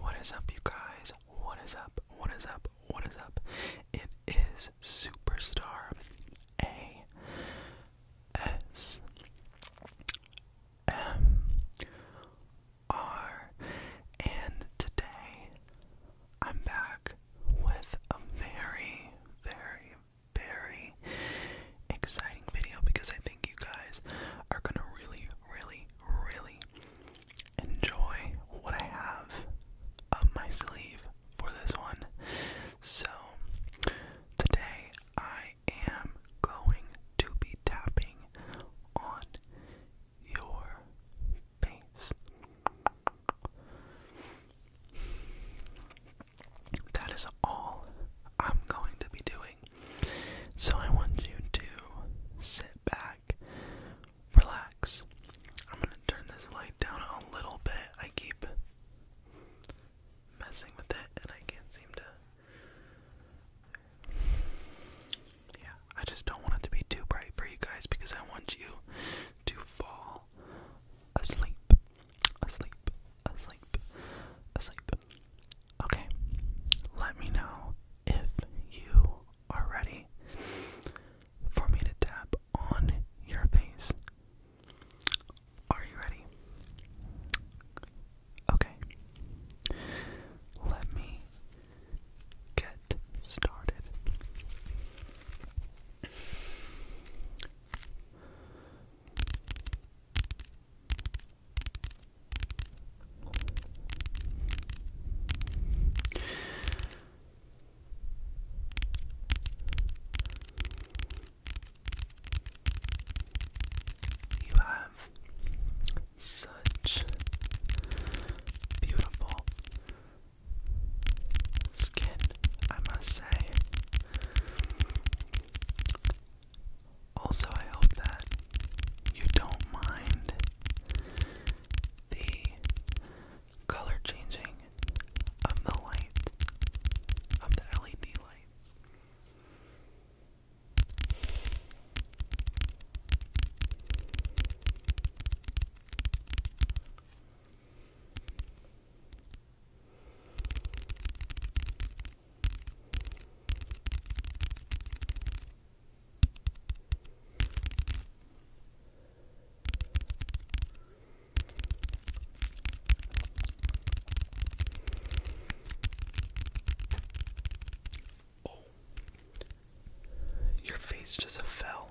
What is up, you guys? What is up? What is up? What is up? It is Superstar A S M R, and today I'm back with a very, very, very exciting video because I think you guys are gonna really, really, really enjoy what I have up my sleeve for this one. So, today I am going to be tapping on your face. That is all I'm going to be doing. So I want you to sit back, relax. I'm gonna turn this light down a little bit. I keep messing with it and I can't seem to. Yeah, I just don't want it to be too bright for you guys because I want you to fall asleep, asleep, asleep, asleep. Okay, let me know if you are ready for me to tap on your face. Are you ready? Okay, let me get started. You have such beautiful skin, I must say. Also, I hope that you don't mind the color changing of the light, of the LED lights. Oh. your face just fell.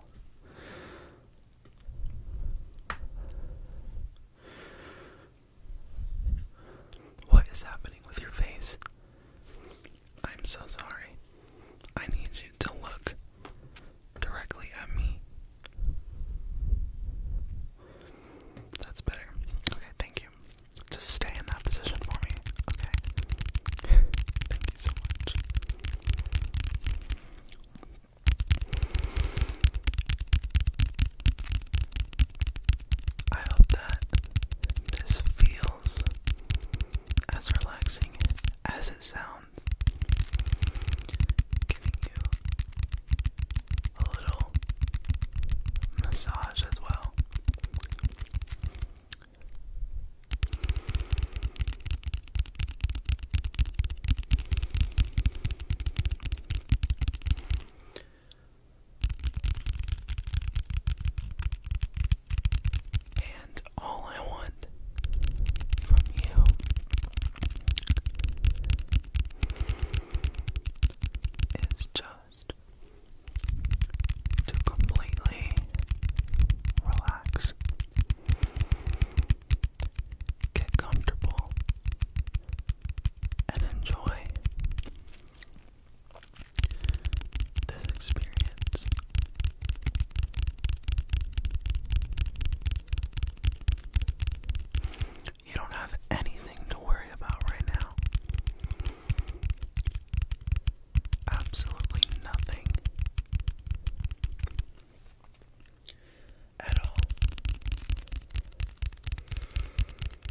What is happening with your face? I'm so sorry. I need you to look directly at me. That's better. Okay, thank you. Just stay in that position for me, okay? thank you so much. I hope that this feels as relaxing as it sounds, giving you a little massage as well. And all I want from you is just to completely relax, get comfortable, and enjoy this experience. You don't have anything to worry about right now. Absolutely nothing at all.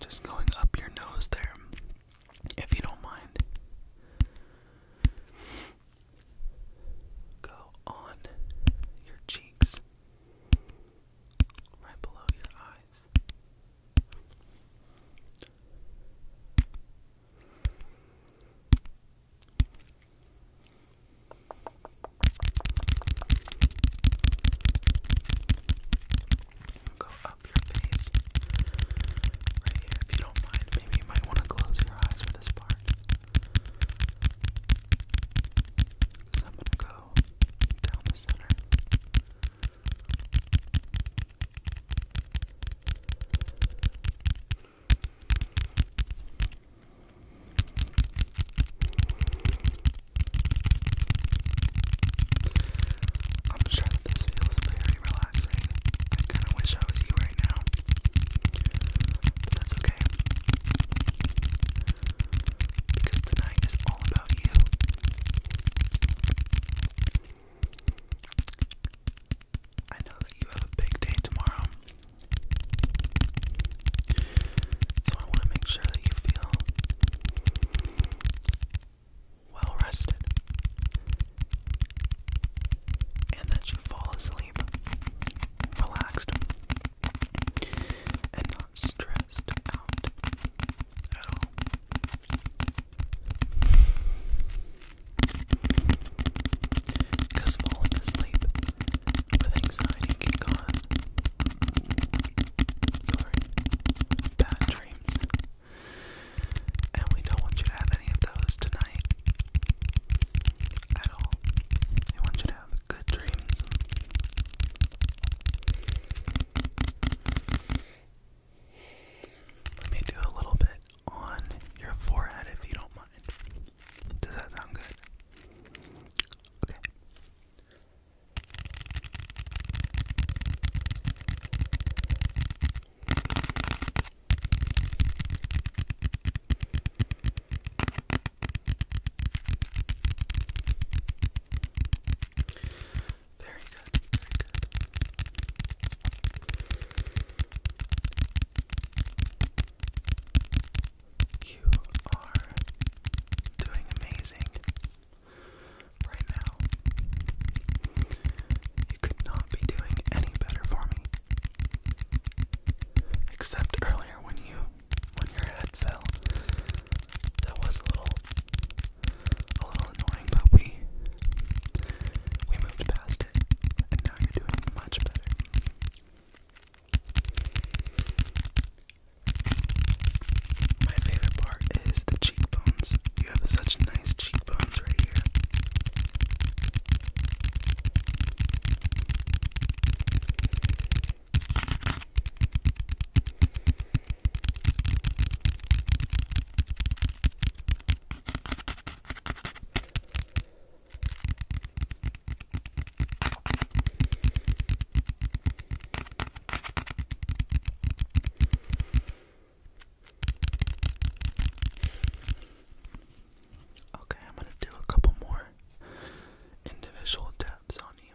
Just going up your nose there, if you don't mind. Go on your cheeks, right below your eyes. Go up your face right here. If you don't mind, maybe you might want to close your eyes for this part. Because I'm going to go down the center. I'm sure that this feels very relaxing. I kind of wish I was you right now, but that's okay. Because tonight is all about you. I know that you have a big day tomorrow, so I want to make sure that you feel well rested and that you fall asleep relaxed and not stressed out at all. Because falling asleep anxiety can cause bad dreams. And we don't want you to have any of those tonight at all. We want you to have good dreams. Let me do a little bit on your forehead if you don't mind. Does that sound good? Okay. Very good, very good. You are doing amazing right now. You could not be doing any better for me. Except earlier when you when your head fell. That was a little a little annoying, but we we moved past it and now you're doing much better. My favorite part is the cheekbones. You have such nice cheekbones right here. Okay, I'm going to do a couple more individual taps on you.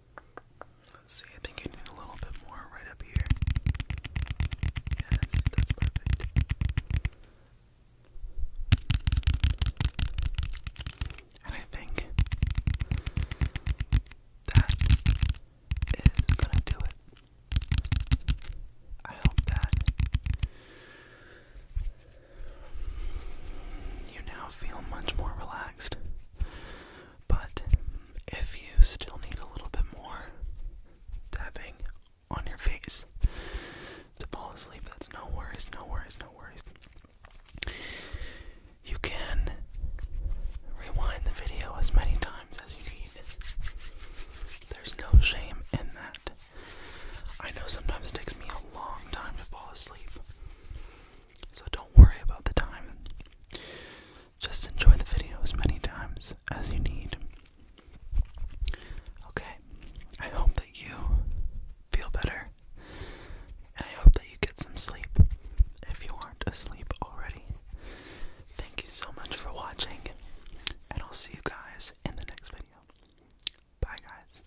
Let's see, I think I need a little bit more right up here. Yes, that's perfect. And I think that is gonna do it. I hope that you now feel much more relaxed. But if you still need a little bit more tapping on your face to fall asleep, that's no worries, no worries, no worries. You can rewind the video as many times as you need. There's no shame in that. I know sometimes it takes me a long time to fall asleep. So don't worry about the time. Just enjoy the video as many times as you need. Okay, I hope that you feel better. And I hope that you get some sleep if you aren't asleep already. Thank you so much for watching, and I'll see you guys in the next video. Bye, guys.